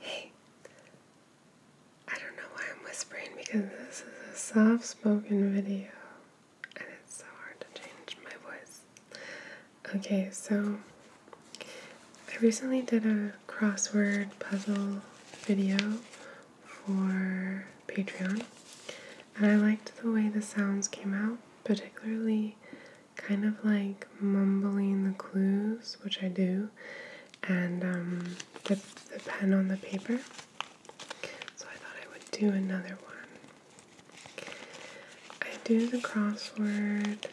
Hey, I don't know why I'm whispering because this is a soft spoken video and it's so hard to change my voice. Okay, so I recently did a crossword puzzle video for Patreon and I liked the way the sounds came out, particularly kind of like mumbling the clues, which I do, and um, the, the pen on the paper. So I thought I would do another one. I do the crossword,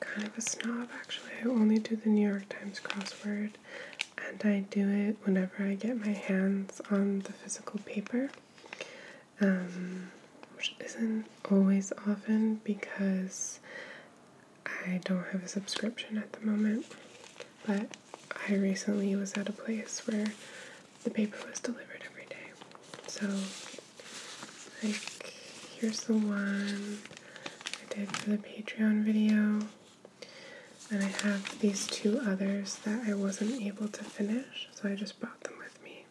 kind of a snob actually. I only do the New York Times crossword, and I do it whenever I get my hands on the physical paper. Um, which isn't always often because I don't have a subscription at the moment. But I recently was at a place where the paper was delivered every day. So, here's the one I did for the Patreon video. And I have these two others that I wasn't able to finish, so I just brought them with me.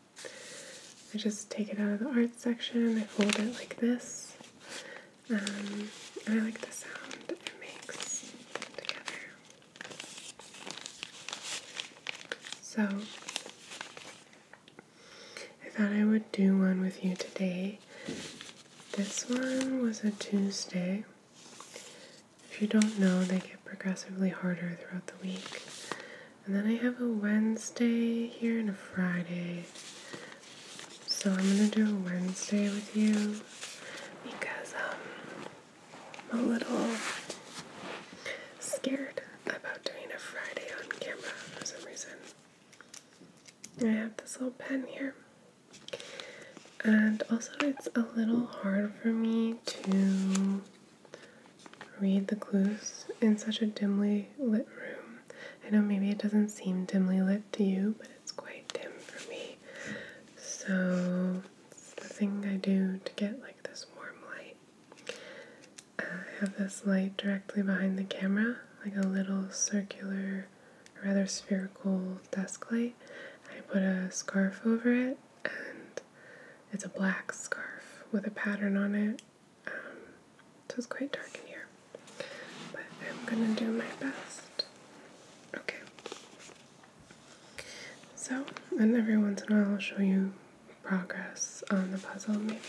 I just take it out of the art section, I fold it like this, um, and I like the sound it makes together. So, I thought I would do one with you today. This one was a Tuesday. If you don't know, they get progressively harder throughout the week. And then I have a Wednesday here and a Friday. So I'm gonna do a Wednesday with you because um, I'm a little scared about doing a Friday on camera for some reason. I have this little pen here. And also, it's a little hard for me to read the clues in such a dimly lit room. I know maybe it doesn't seem dimly lit to you, but it's quite dim for me. So the thing I do to get like this warm light. Uh, I have this light directly behind the camera, like a little circular, rather spherical desk light. I put a scarf over it and it's a black scarf with a pattern on it. Um, so it's quite dark in here, but I'm gonna do my best. Okay. So, and every once in a while I'll show you progress on the puzzle, maybe.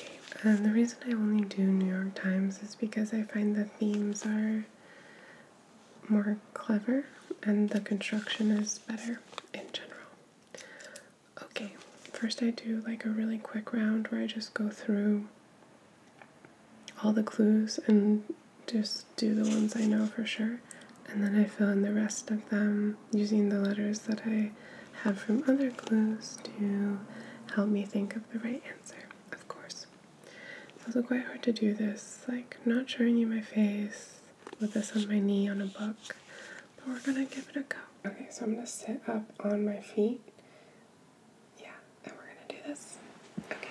And the reason I only do New York Times is because I find the themes are more clever and the construction is better in general. Okay, first I do like a really quick round where I just go through all the clues and just do the ones I know for sure, and then I fill in the rest of them using the letters that I have from other clues to help me think of the right answer, of course. It's also quite hard to do this, like not showing you my face with this on my knee on a book, but we're gonna give it a go. Okay, so I'm gonna sit up on my feet. Yeah, and we're gonna do this. Okay.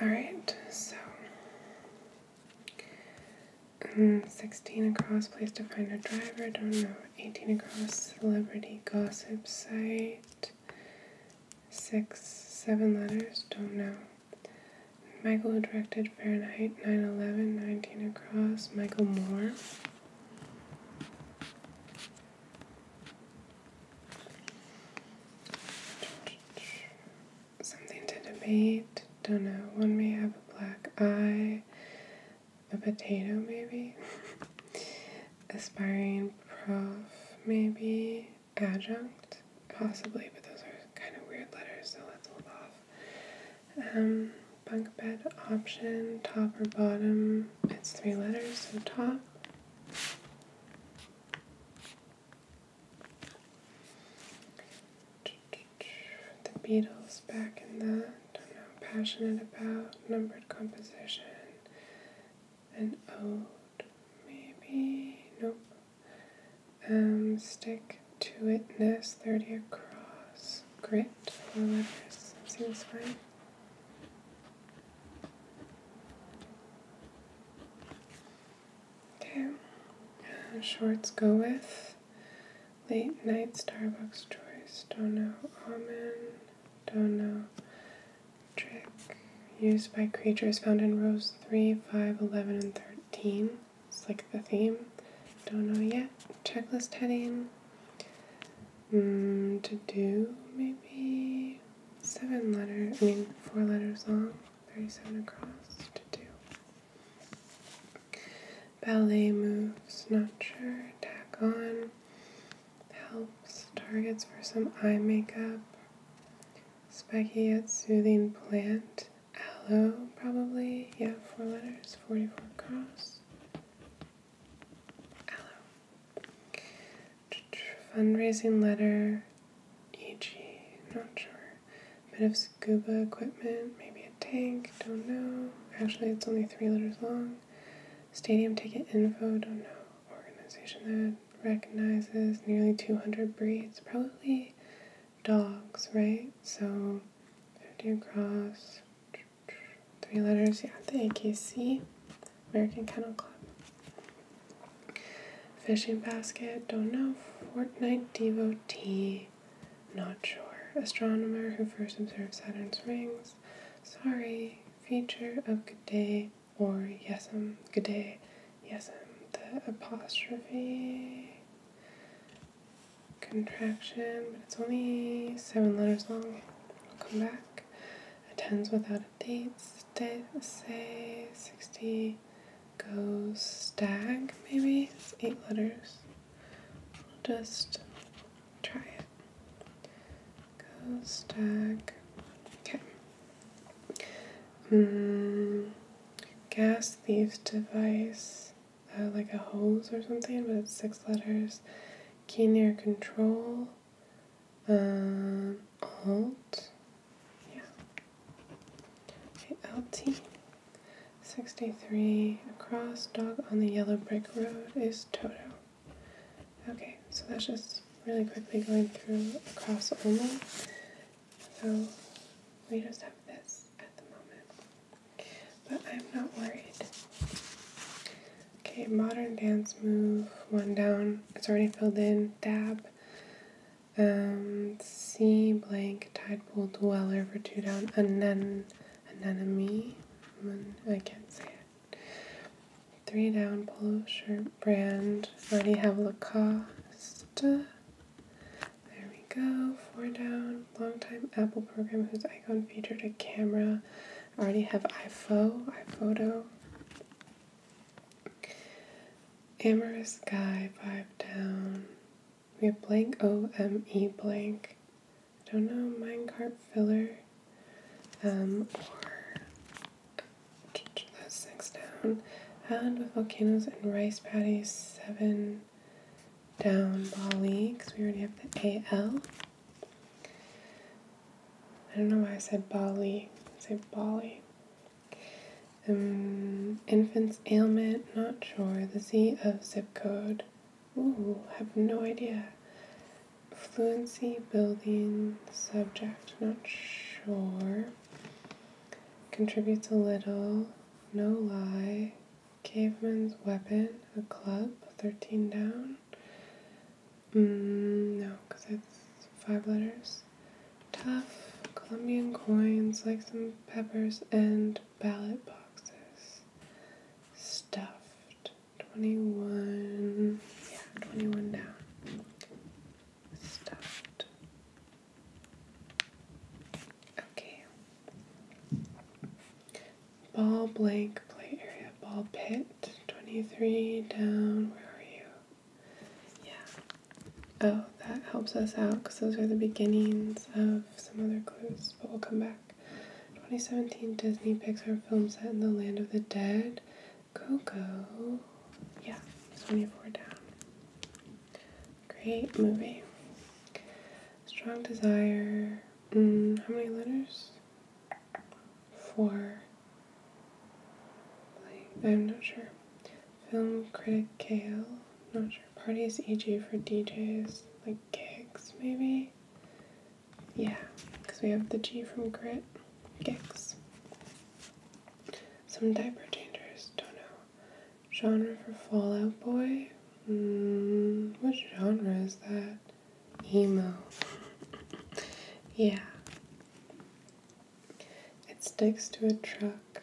Alright, so um, 16 across, place to find a driver, don't know. 18 across, celebrity gossip site six, seven letters, don't know. Michael, directed Fahrenheit 9 11, 19 across, Michael Moore. Something to debate, don't know. One may have a black eye, a potato, maybe. Aspiring prof, maybe adjunct, possibly, but those are kind of weird letters, so let's hold off. Um, bunk bed option, top or bottom, it's three letters, so top. The Beatles back in that, I'm not passionate about, numbered composition. And old, maybe, nope. Um, stick to itness, 30 across, grit, four letters, that seems fine. Okay, uh, shorts go with late night Starbucks choice, don't know almond, don't know trick used by creatures found in rows 3, 5, 11, and 13. It's like the theme. Don't know yet. Checklist heading. Hmm, to do, maybe. Seven letters. I mean, four letters long, 37 across. To do. Ballet moves, not sure. Tack on. Helps, targets for some eye makeup yet Soothing Plant, Aloe, probably. Yeah, four letters, 44 across. Aloe. Fundraising letter, EG, not sure. Bit of scuba equipment, maybe a tank, don't know. Actually, it's only three letters long. Stadium ticket info, don't know organization that recognizes nearly 200 breeds, probably dogs, right? So 50 cross, three letters, yeah, the AKC, American Kennel Club. Fishing basket, don't know, Fortnite devotee, not sure. Astronomer who first observed Saturn's rings, sorry, feature of good day or yesem um, g'day, yesem, um, the apostrophe contraction, but it's only seven letters long. I'll come back. Attends without a date, say, 60, go, stag, maybe? eight letters. just try it. Go, stag. Okay. Hmm, gas theft device, uh, like a hose or something, but it's six letters. Key near control. Uh, alt. Yeah. Okay, LT. 63 across dog on the yellow brick road is Toto. Okay, so that's just really quickly going through across only. So we just have this at the moment. But I'm not worried. Okay, modern dance move, one down. It's already filled in. Dab. Um, C blank, tide pool dweller for two down. Anen, anemone. I can't say it. Three down polo shirt brand. I already have Lacoste. There we go. Four down. Longtime Apple program whose icon featured a camera. I already have iPho, iPhoto. Amorous Guy, five down. We have blank O M E blank. don't know, minecart filler um, or six down. Island with volcanoes and rice paddies, seven down Bali, because we already have the AL. I don't know why I said Bali. I say Bali. Um, infant's ailment, not sure. The Z of zip code. Ooh, have no idea. Fluency building subject, not sure. Contributes a little. No lie. Caveman's weapon, a club, 13 down. Mm, no, because it's five letters. Tough, Colombian coins, like some peppers, and ballot boxes. Stuffed. 21, yeah, 21 down. Stuffed. Okay. Ball blank play area, ball pit, 23 down. Where are you? Yeah. Oh, that helps us out because those are the beginnings of some other clues, but we'll come back. 2017 Disney Pixar film set in the Land of the Dead. Coco. Yeah, 24 down. Great movie. Strong Desire. Mm, how many letters? Four. Like, I'm not sure. Film critic Kale. Not sure. Parties EG for DJs. Like gigs, maybe? Yeah, because we have the G from Grit, Gix. Some diaper changers, don't know. Genre for Fallout Boy? Mm, what genre is that? Emo. yeah. It sticks to a truck.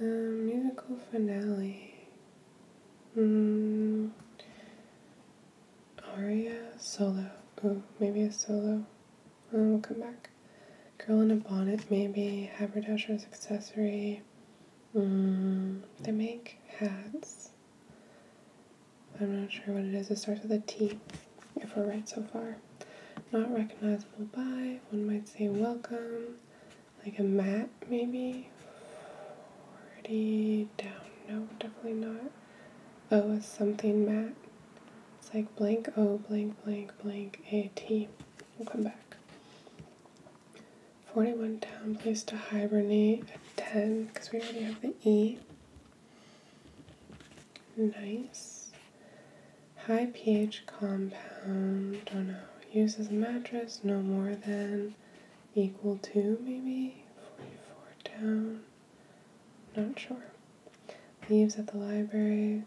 Um, musical finale. Hmm. aria solo. Oh, maybe a solo. we'll come back. Girl in a bonnet, maybe. Haberdasher's accessory. Mm, they make hats. I'm not sure what it is. It starts with a T, if we're right so far. Not recognizable by. One might say welcome. Like a mat, maybe already down. No, definitely not. Oh, something, Matt. It's like blank O, oh, blank, blank, blank, A, T. We'll come back. 41 down, place to hibernate at 10, because we already have the E. Nice. High pH compound, don't oh, know. Use mattress, no more than equal to maybe 44 down. Not sure. Leaves at the library.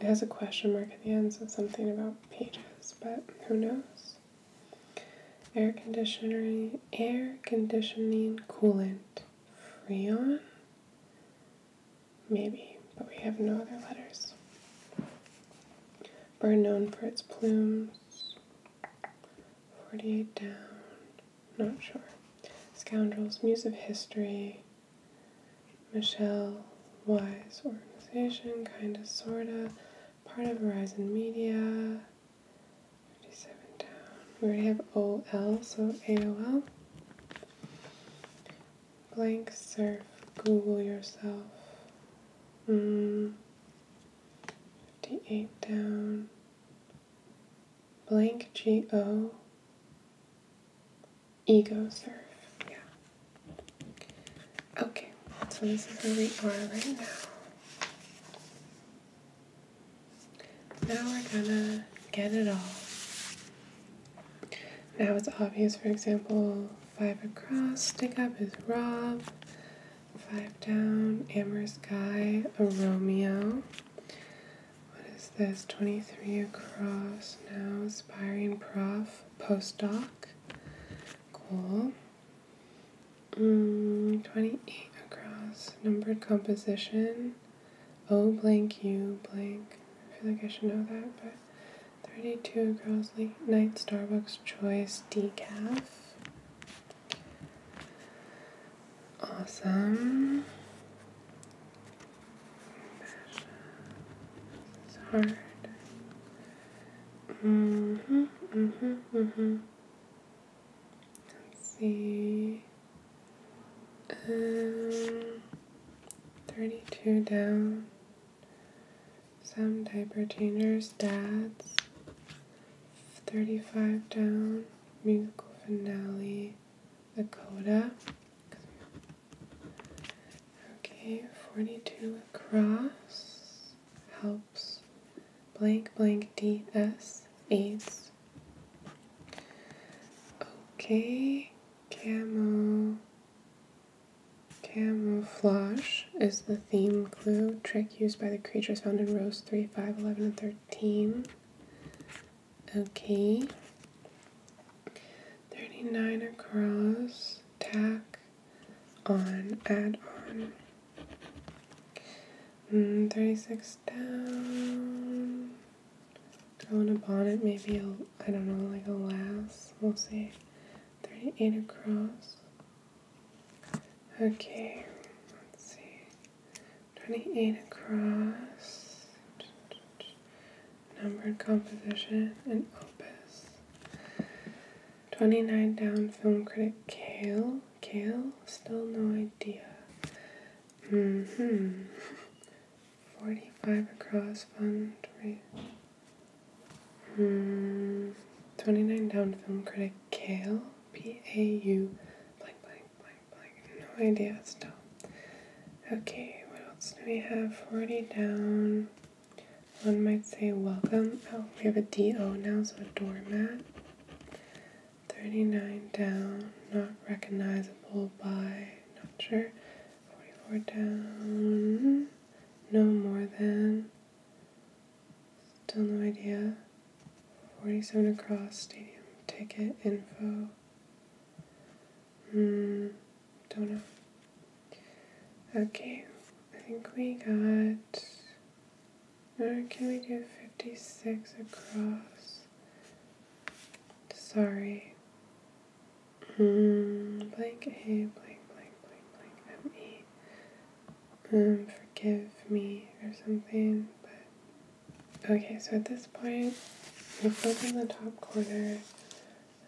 It has a question mark at the end, so something about pages, but who knows? Air conditioning, air conditioning coolant. Freon? Maybe, but we have no other letters. Bird known for its plumes. 48 down. Not sure. Scoundrels, Muse of History, Michelle Wise Organization, kinda, sorta, part of Horizon Media. 57 down. We already have OL, so AOL. Blank surf, Google yourself. Mm, 58 down, blank GO, ego surf. Yeah. Okay, so this is where we are right now. Now we're gonna get it all. Now it's obvious, for example, Five across, stick up is Rob. Five down, amorous guy, a Romeo. What is this? 23 across now, aspiring prof, postdoc. Cool. Mm, 28 across, numbered composition. O oh, blank U blank. I feel like I should know that, but 32 Girls Night Starbucks Choice Decaf. Awesome. It's hard. Mm hmm, mm hmm, mm hmm. Let's see. Um, 32 down. Some diaper changers, dads, 35 down, musical finale, the coda. Okay, 42 across, helps, blank blank DS, aids. Okay, camo, Camouflage is the theme clue trick used by the creatures found in rows 3, 5, 11, and 13. Okay. 39 across, tack on, add on. Mm, 36 down. Go a bonnet, maybe, I I don't know, like a lass. We'll see. 38 across. Okay, let's see. 28 across. Numbered composition and opus. 29 down, film critic Kale. Kale, still no idea. hmm. 45 across, fundraiser. Mm, 29 down film critic Kale, P A U, blank, blank, blank, blank. No idea, still. Okay, what else do we have? 40 down. One might say welcome. Oh, we have a DO now, so a doormat. 39 down, not recognizable by, not sure. 44 down, no more than, still no idea. 47 across, stadium ticket info. Hmm, don't know. Okay, I think we got. Or can we do 56 across? Sorry, Mm, blank A, blank, blank, blank, blank, M E. Um, forgive me or something, but okay, so at this point, we've opened the top corner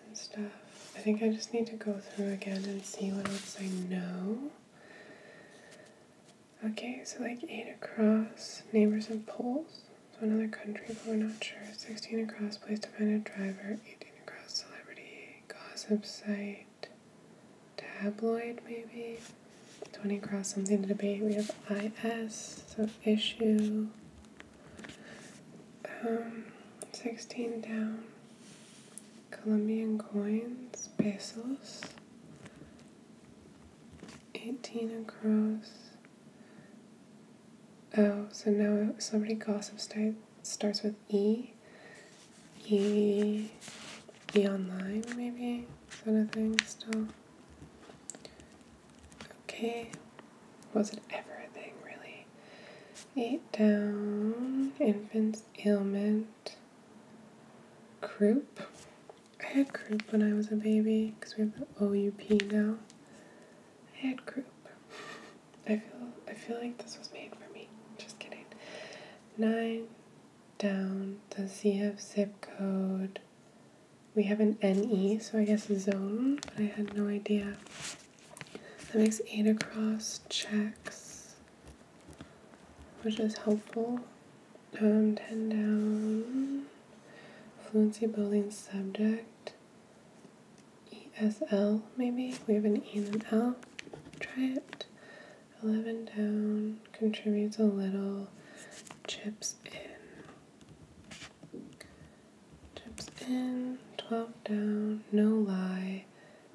and stuff. I think I just need to go through again and see what else I know. Okay, so like 8 across, neighbors and poles. So another country, but we're not sure. 16 across, place to find a driver. 18 Across Celebrity Gossip Site. Tabloid, maybe? 20 Across Something to Debate. We have IS, so issue. Um, 16 down. Colombian coins, pesos. 18 across. Oh, so now celebrity gossip site starts with E. E. E online, maybe? Is that thing still? Okay. Was it ever a thing, really? It down. Infant's ailment. Croup. I had croup when I was a baby because we have the OUP now. I had croup. I feel I feel like this was made for me. Just kidding. Nine down the CF zip code. We have an NE, so I guess zone, but I had no idea. That makes eight across checks, which is helpful. Um, 10 down. Fluency building subject. ESL, maybe? We have an E and L. Try it. 11 down, contributes a little, chips in. Chips in, 12 down, no lie,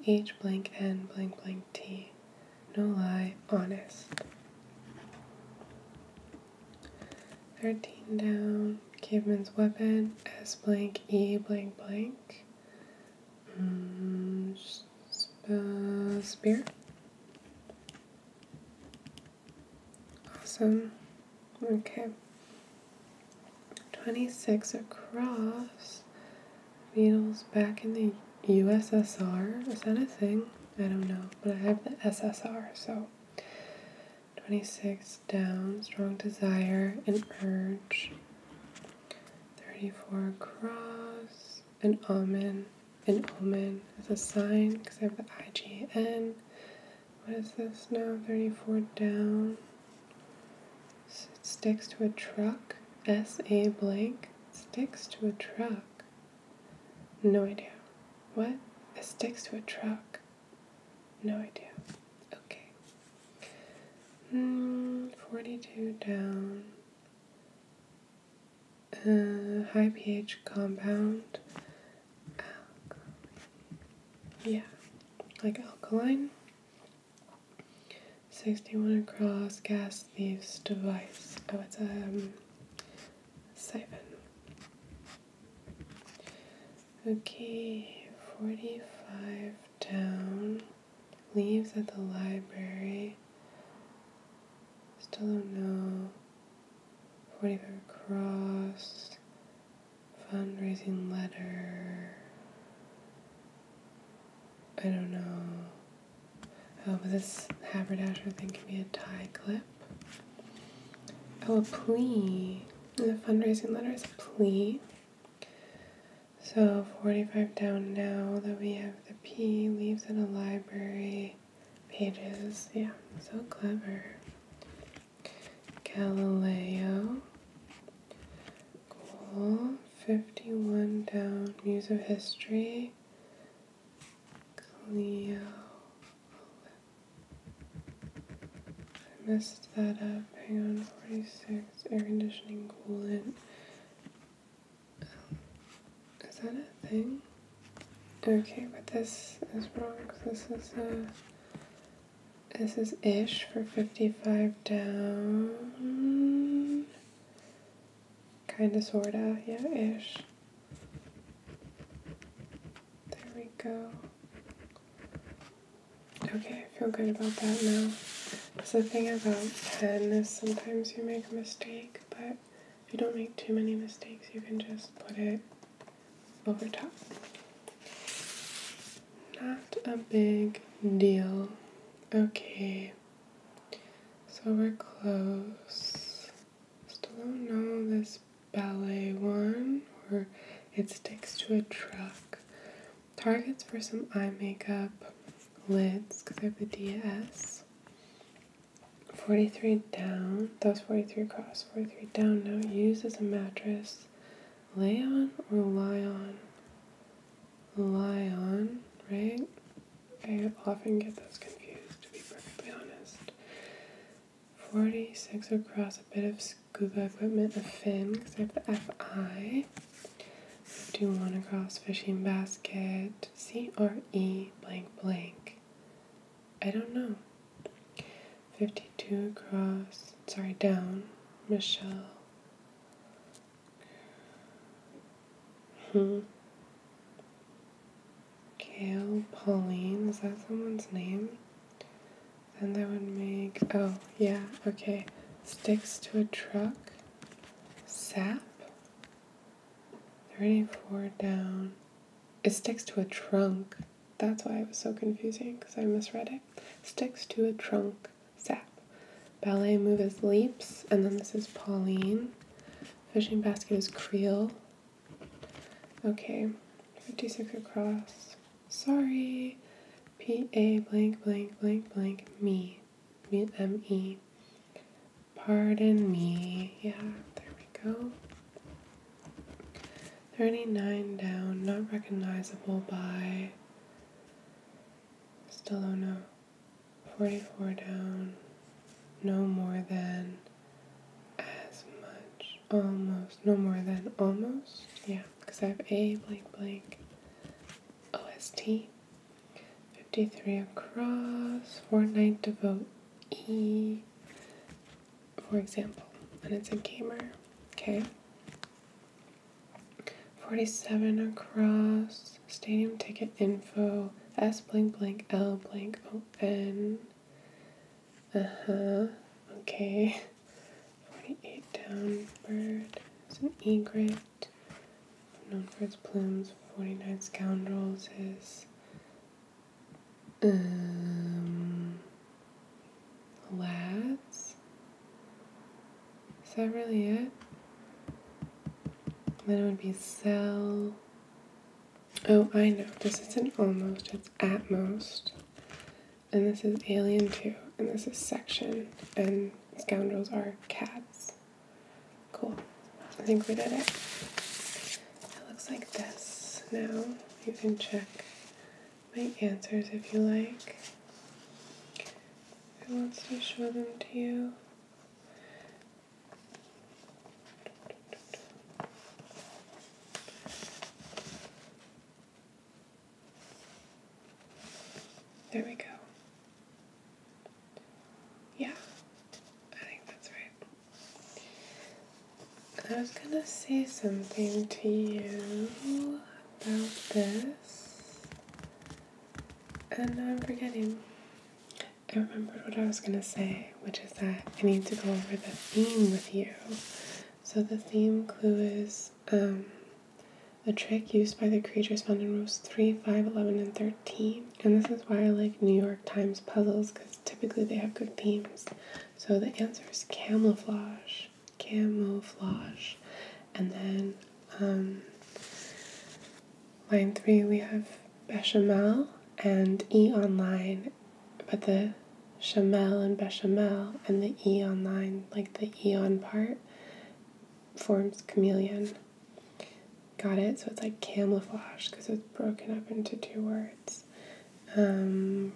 H blank N blank blank T. No lie, honest. 13 down, caveman's weapon, S blank, E blank blank. Um, spear. Awesome. Okay. 26 across. Beetles back in the USSR. Is that a thing? I don't know, but I have the SSR, so 26 down, strong desire and urge. 34 cross, an omen, An omen is a sign because I have the IGN. What is this now? 34 down. it sticks to a truck. S.A. blank. Sticks to a truck. No idea. What? It sticks to a truck. No idea. Okay. Mm, 42 down. Uh, high pH compound. Alkaline. Yeah, like alkaline. 61 across gas leaves device. Oh, it's a um, siphon. Okay, 45 down. Leaves at the library. Still don't know. 45 cross. Fundraising letter. I don't know. Oh, but this haberdasher thing could be a tie clip. Oh, a plea. the fundraising letter is a plea. So 45 down now that we have the P leaves in a library pages. Yeah, so clever. Galileo. Cool. 51 down. Muse of History. Cleo. I messed that up. Hang on, 46. Air conditioning coolant. Um, is that a thing? Okay, but this is wrong. This is a. This is ish for 55 down. Kinda, sorta. Yeah, ish. There we go. Okay, I feel good about that now. That's the thing about pen is sometimes you make a mistake, but if you don't make too many mistakes, you can just put it over top. Not a big deal. Okay, so we're close. Still don't know this ballet one, or it sticks to a truck. Targets for some eye makeup, lids, because I have the DS. 43 down, Those 43 cross. 43 down now. Use as a mattress. Lay on or lie on? Lie on, right? I often get those confused, to be perfectly honest. 46 across, a bit of scuba equipment, a fin, because I have the FI. 51 across, fishing basket, CRE blank blank. I don't know. 52 across, sorry, down, Michelle. Hmm. Kale Pauline, is that someone's name? Then that would make, oh, yeah, okay. Sticks to a truck. Sap. 34 down. It sticks to a trunk. That's why it was so confusing because I misread it. Sticks to a trunk. Sap. Ballet move is leaps. And then this is Pauline. Fishing basket is Creel. Okay, 56 across. Sorry. P A blank blank blank blank me. Me Pardon me. Yeah, there we go. 39 down, not recognizable by. Still don't know. 44 down, no more than as much, almost, no more than almost, yeah, because I have A blank blank OST. 53 across, 49 to vote E, for example, and it's a gamer, okay? 47 across, stadium ticket info, S blank blank L blank O N. Uh huh. Okay. 48 down. Bird. It's an egret. Known for its plumes. 49 scoundrels is. Um. Lads? Is that really it? Then it would be cell. Oh, I know. This isn't almost, it's at most. And this is Alien 2. And this is Section. And Scoundrels are cats. Cool. I think we did it. It looks like this now. You can check my answers if you like. It wants to show them to you. There we go. Yeah, I think that's right. I was gonna say something to you about this, and I'm forgetting. I remembered what I was going to say, which is that I need to go over the theme with you. So, the theme clue is um, a trick used by the creatures found in rows 3, 5, 11, and 13. And this is why I like New York Times puzzles, because typically they have good themes. So, the answer is camouflage. Camouflage. And then um, Line three, we have bechamel and E online, but the chamel and bechamel and the E online, like the eon part, forms chameleon. Got it? So it's like camouflage because it's broken up into two words. Um,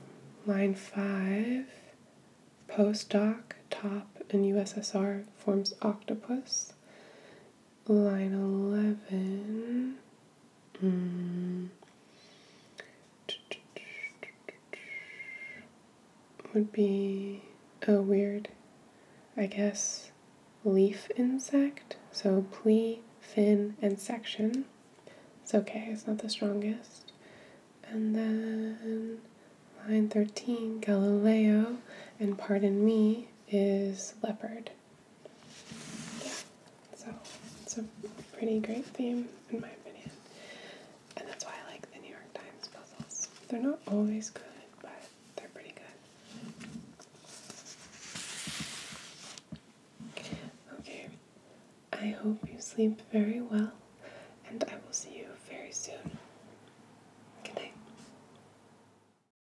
line five, postdoc, top, and USSR forms octopus line 11. Hmm. Would be a weird, I guess, leaf insect. So plea, fin, and section. It's okay, it's not the strongest. And then line 13, Galileo, and pardon me, is leopard. Yeah, So it's a pretty great theme, in my opinion. And that's why I like the New York Times puzzles. They're not always good, but they're pretty good. Okay, I hope you sleep very well, and I will see you very soon. Good night.